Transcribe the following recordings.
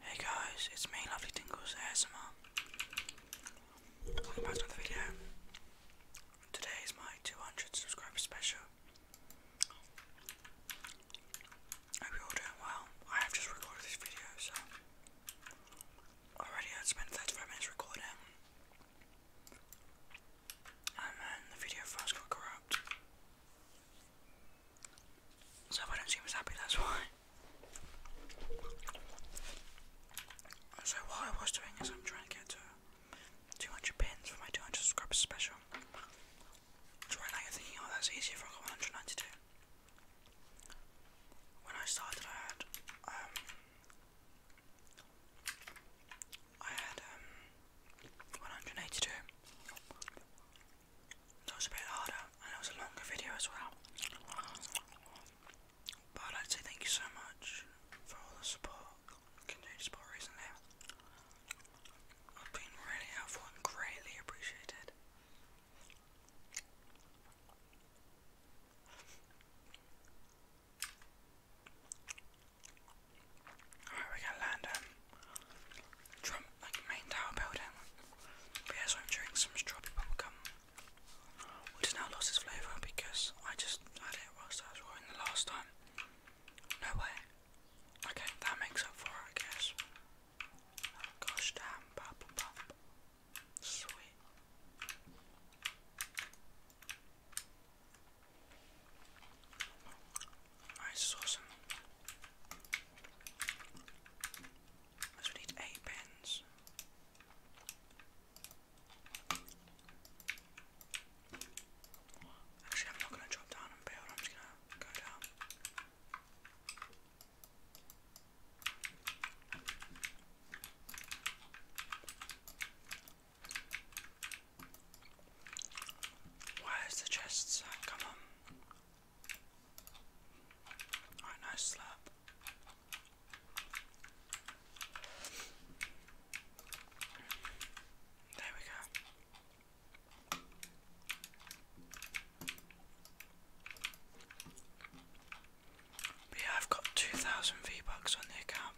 Hey guys, it's me, Lovely Tingles ASMR. Welcome back to another video. Today is my 200 subscriber special. hope you're all doing well. I have just recorded this video, so already I spent 35 minutes recording. And then the video first got corrupt. So I don't seem as happy, that's why. So what I was doing is I'm trying to get to 200 pins for my 200 subscribers special. So right thinking, oh that's easy if I got 192. When I started I had, um, I had um, 182. That was a bit harder and it was a longer video as well. But I'd like thank you so much for all the support, continued support recently. I've been really helpful and greatly appreciated. Alright, we can land like my entire building. But I'm drinking some strawberry bubblegum. Which has now lost its flavour because I just had it whilst I was rolling the last time. No way. Okay, that makes up for it I guess. Oh, gosh damn bubble bump. Sweet. Nice, awesome. So we need eight pens. Actually, I'm not going to drop down and build, I'm just going to go down. Where's the chests? Come on. Alright, nice slap. There we go. yeah, I've got 2,000 V-Bucks on the account.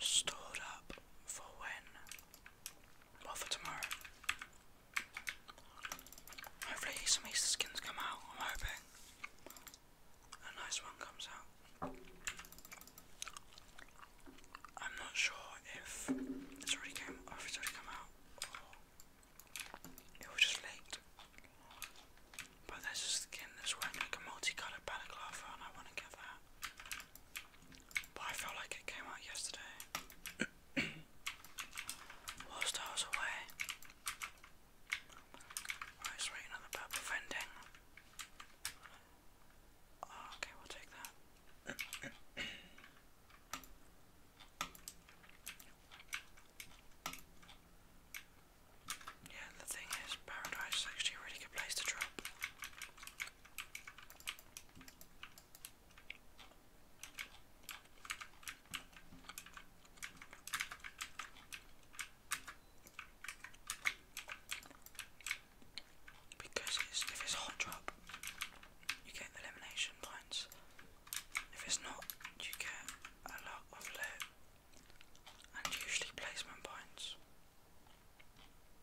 Stored up for when what for tomorrow? Hopefully some Easter skins come out, I'm hoping. A nice one comes out. I'm not sure if it's already came or it's already come out it was just leaked. But there's a skin that's wearing like a multicoloured balaclava and I wanna get that. But I felt like it came out yesterday. Whilst I away. I was reading on about preventing. Oh, ah, okay, we'll take that. Yeah, the thing is, Paradise is actually a really good place to drop. Because if it's hot drop, you get elimination points. If it's not, you get a lot of loot and usually placement points.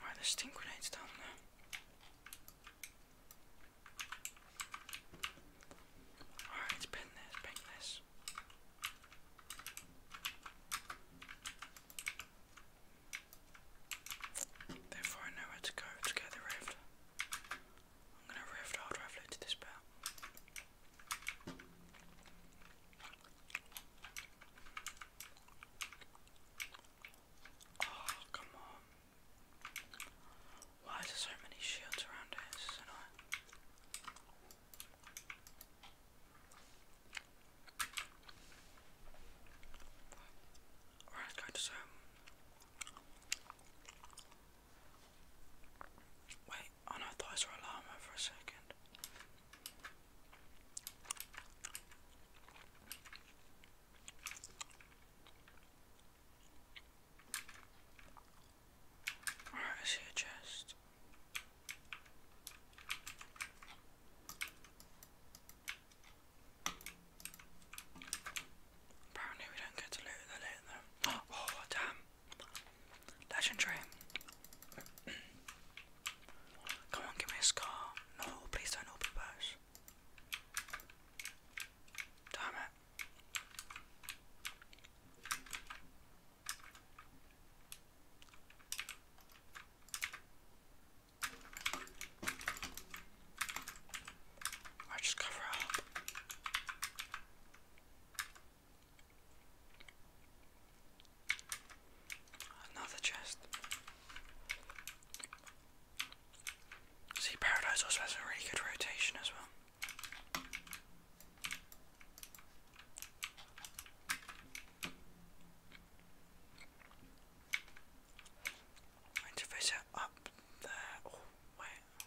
Alright, the steam grenades down there. Alright, let this, ping this. Therefore I know where to go to get the rift. I'm gonna rift hard drive load to this bit. Oh, come on. Why is there so many shields around here? Alright, go to some. Wait, i no, I thought I saw a llama for a second. Alright, I see a chest. Apparently we don't get to loot the loot though. Oh damn. Legendary. Come on, give me a scar. No, please don't open those. Damn it. I just cover up. Another chest. See, Paradise also has a really good rotation as well. Interface up there. Oh,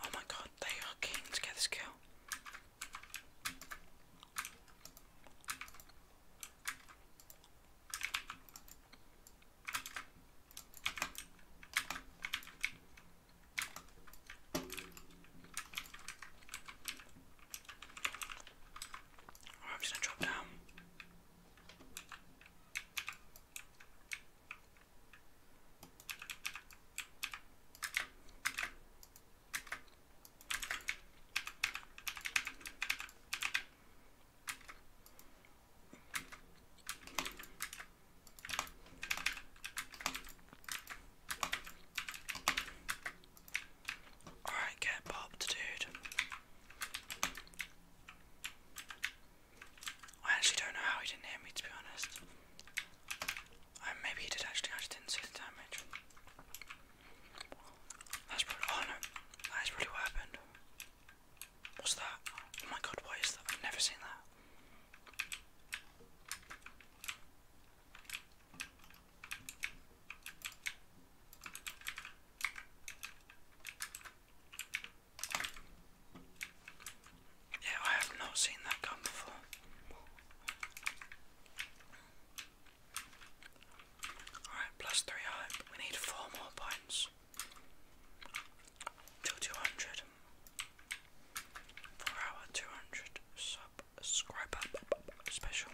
Oh my god, they are keen to get this kill. Alright, oh, I'm just gonna drop down. Alright, get popped, dude. I actually don't know how he didn't hear me, to be honest. Uh, maybe he did actually, I just didn't see the damage. That's probably. Oh that is really what happened. What's that? Oh my god, what is that? I've never seen that. Yeah, I have not seen that gun before. Alright, plus three hype. We need four more points. 200 for our 200 subscriber special.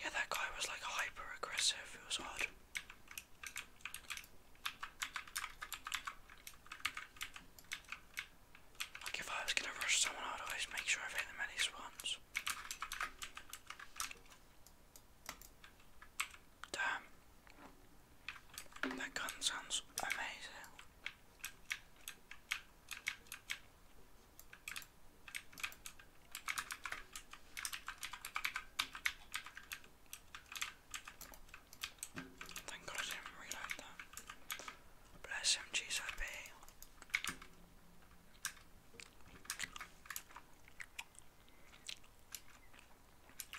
Yeah, that guy was like hyper aggressive, it was odd. if I was gonna rush someone, I'd always make sure i hit them at least once. Damn. That gun sounds amazing. Thank God I didn't reload that. But SMGs would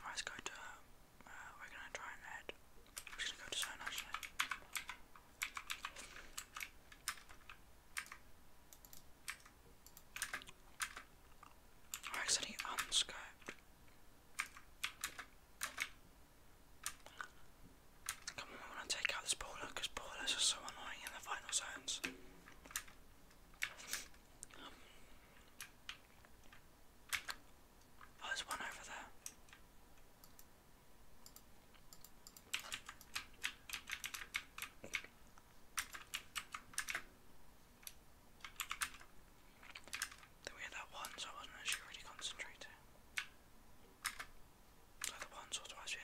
Right, let's go to. Uh, we're gonna try and head. we just gonna go to zone actually. I accidentally unscoped. Come on, we want to take out this brawler because brawlers are so annoying in the final zone plans. Um, oh, there's one over there. Then we had that one, I wasn't actually really concentrating. So the once or twice we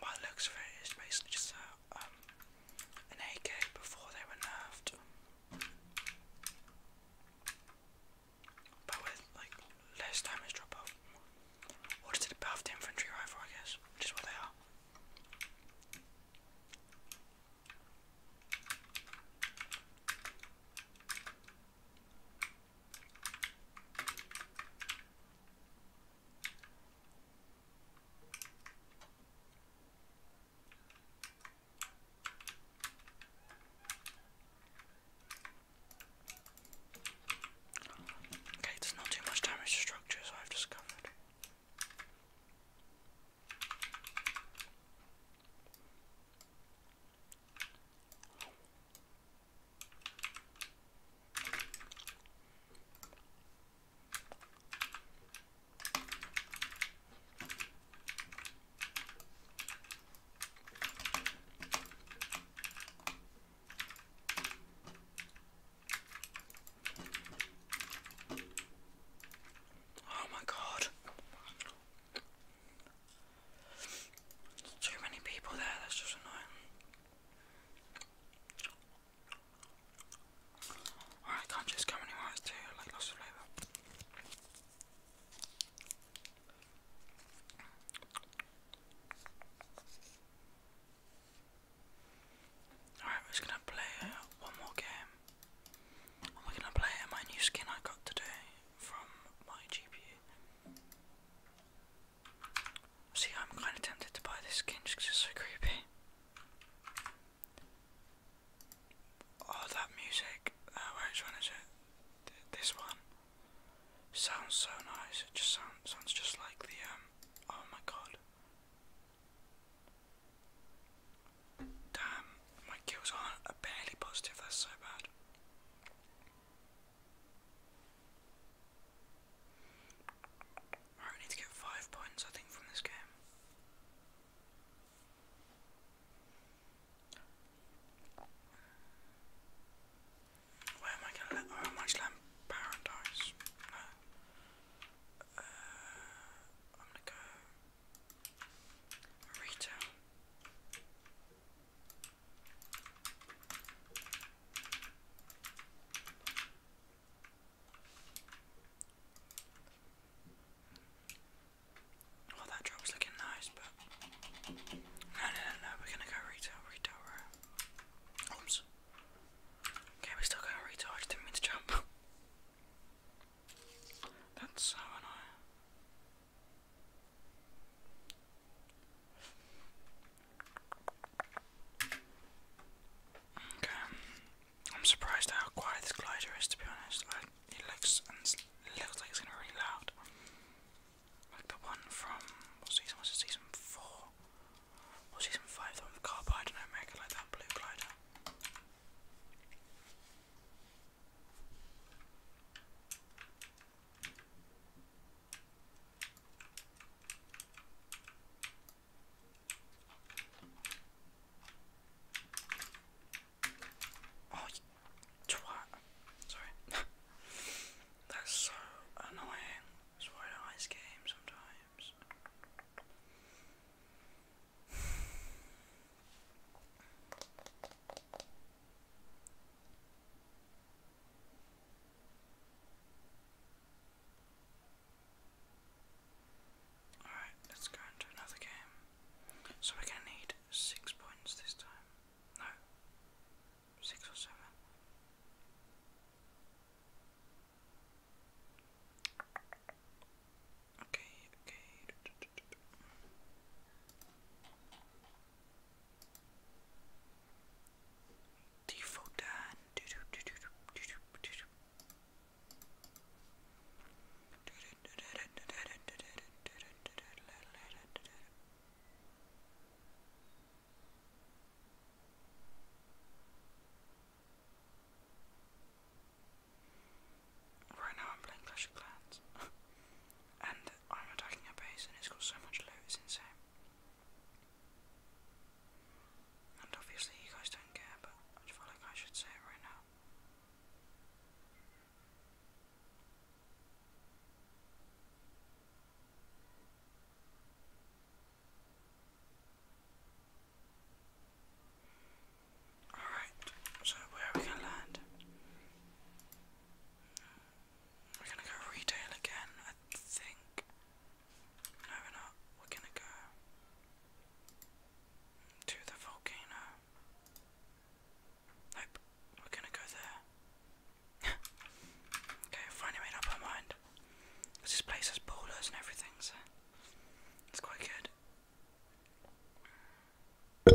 By looks of it's basically just a, um, an AK before they were nerfed. But with, like, less damage drop off. Or just a buffed infantry rifle, I guess, which is what they are. Okay, there's not too much damage to structures I've discovered. Oh, my God, There's too many people there, that's just annoying. I can't just go anywhere I too, like lots flavour. Alright, we're gonna play uh, one more game. And we gonna play my new skin I got today from my GPU. See, I'm kind of tempted to buy this skin just because it's so creepy. Oh, that music. Uh, which one is it? this one. Sounds so nice. It just sound, sounds just like the, um, oh my god. Damn, my kills aren't barely positive, that's so bad. I need to get five points, I think, from this game. Where am I gonna let? Oh, i paradise. No. Uh, I'm gonna go retail. Well, that drop's looking nice, but no, no, no, We're gonna go retail, retail Oops. Okay, we still going retail. I just didn't mean to jump. That's so annoying. Okay, I'm surprised how quiet this glider is. To be honest, like, it looks looks like it's gonna be really loud. Like the one from what season was it? Season four or season five? The one with Carbide and Omega, like that blue glider. Oh, Sorry. That's so annoying. That's why I ice game sometimes. Alright, let's go into another game. So we're gonna need six points this time. No. Six or seven. Okay, okay. Default done. Right now I'm playing Clash of Clans. and I'm attacking a base and it's got so much loot, it's insane. And obviously you guys don't care, but I feel like I should say it right now. Alright, so where are we gonna land? We're gonna go retail again, I think. No, we're not. We're gonna go to the volcano. Nope, we're gonna go there. okay, finally made up our mind. This place has boulders and everything, so it's quite good. I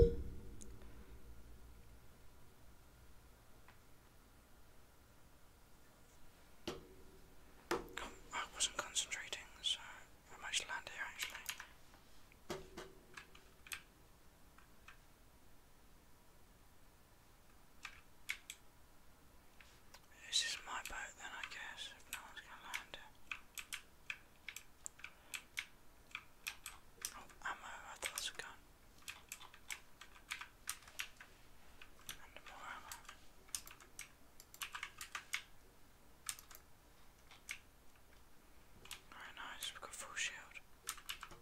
wasn't concentrating, so I might land here actually. This is my boat then I guess, if no one's gonna land it. Oh, I thought it and more of them. Very nice, we've got full shield. Come on.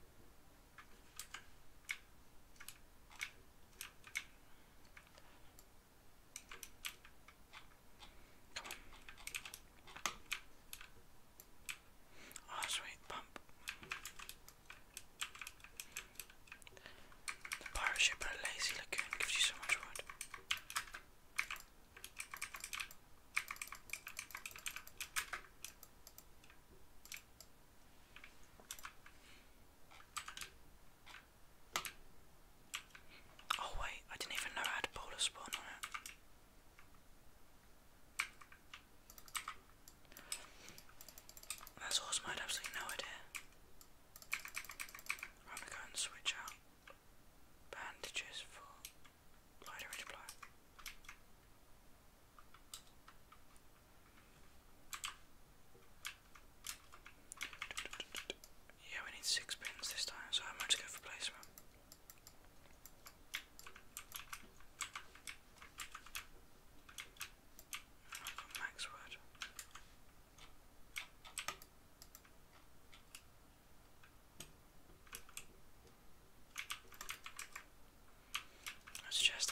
Oh, sweet, pump. The pirate ship at lazy lagoon gives you so much wood. Oh wait, I didn't even know I had a polar spawn on it. That's awesome, I have absolutely no idea. I'm gonna go and switch out bandages for lighter edge blow. Yeah, we need six pins this time, so I might just go for placement. I've got max wood. There's a chest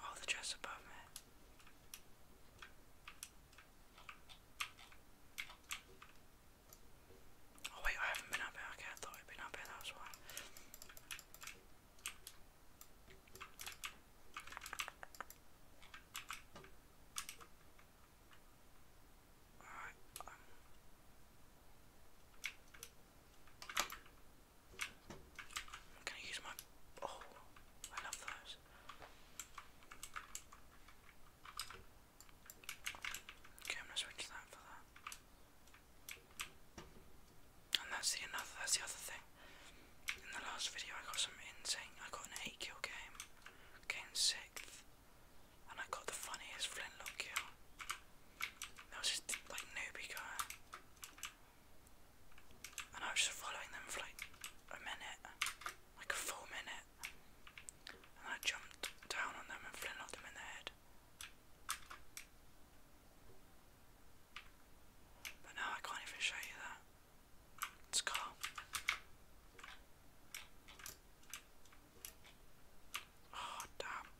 All oh, the dress above me. Oh wait, I haven't been up here. Okay, I thought I'd been up here, that was why. Alright, um, I'm gonna use my. Oh, I love those. Okay, switch that for that. And that's the another. That's the other thing. In the last video, I got some insane. I got an eight kill game. Came sixth and I got the funniest flintlock kill. That was just like newbie guy. And I was just following them for like a minute, like a full minute. And I jumped down on them and flintlocked them in the head. But now I can't even show you that. It's cool. Oh damn.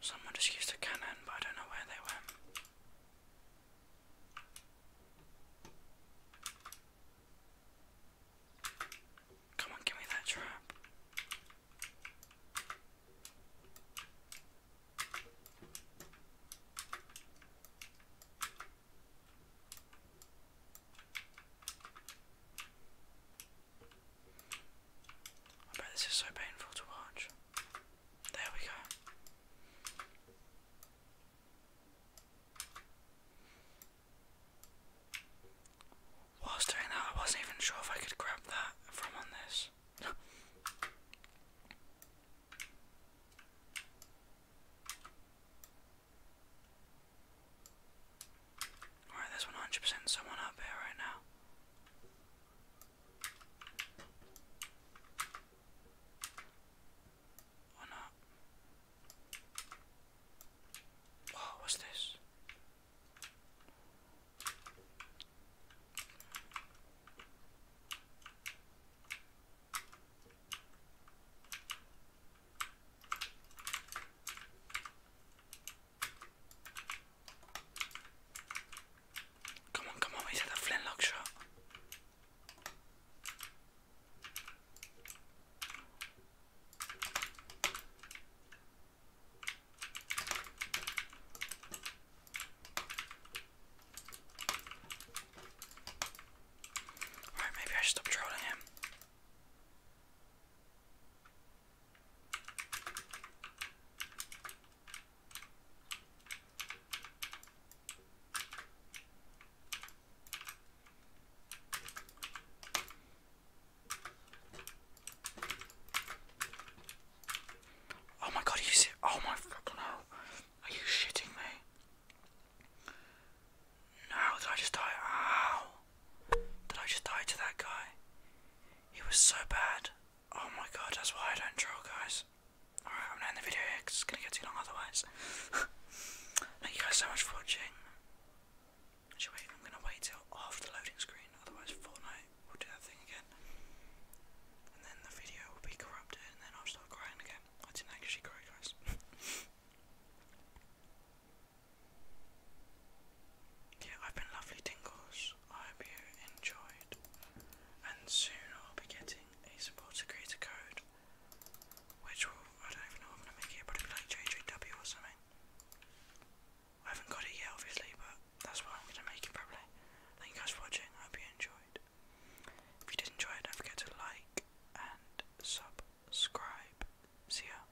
Someone just used a cannon, but I don't know where they went. Come on, give me that trap. I bet this is so painful to watch. There we go. Whilst doing that, I wasn't even sure if I could grab that from on this. Alright, there's 100% someone up here right now. Or not. Oh, what's this? Come on, come on, we is that a flintlock shot? Alright, maybe I should stop trolling him. Oh my god, you see? Oh my fucking hell. Are you shitting me? No, did I just die? Did I just die to that guy? He was so bad. Oh my god, that's why I don't draw, guys. Alright, I'm gonna end the video here because it's gonna get too long otherwise. Thank you guys so much for watching. I'm gonna wait till after the loading screen, otherwise, Fortnite will do that thing again. And then the video will be corrupted, and then I'll start crying again. I didn't actually cry, guys. Yeah, I've been lovely tingles. I hope you enjoyed. And soon I'll be getting a supporter creator code, which will, I don't even know I'm going to make it, probably like JJW or something. I haven't got it yet, obviously, but that's what I'm going to make it probably. Thank you guys for watching. I hope you enjoyed. If you did enjoy it, don't forget to like and subscribe. See ya.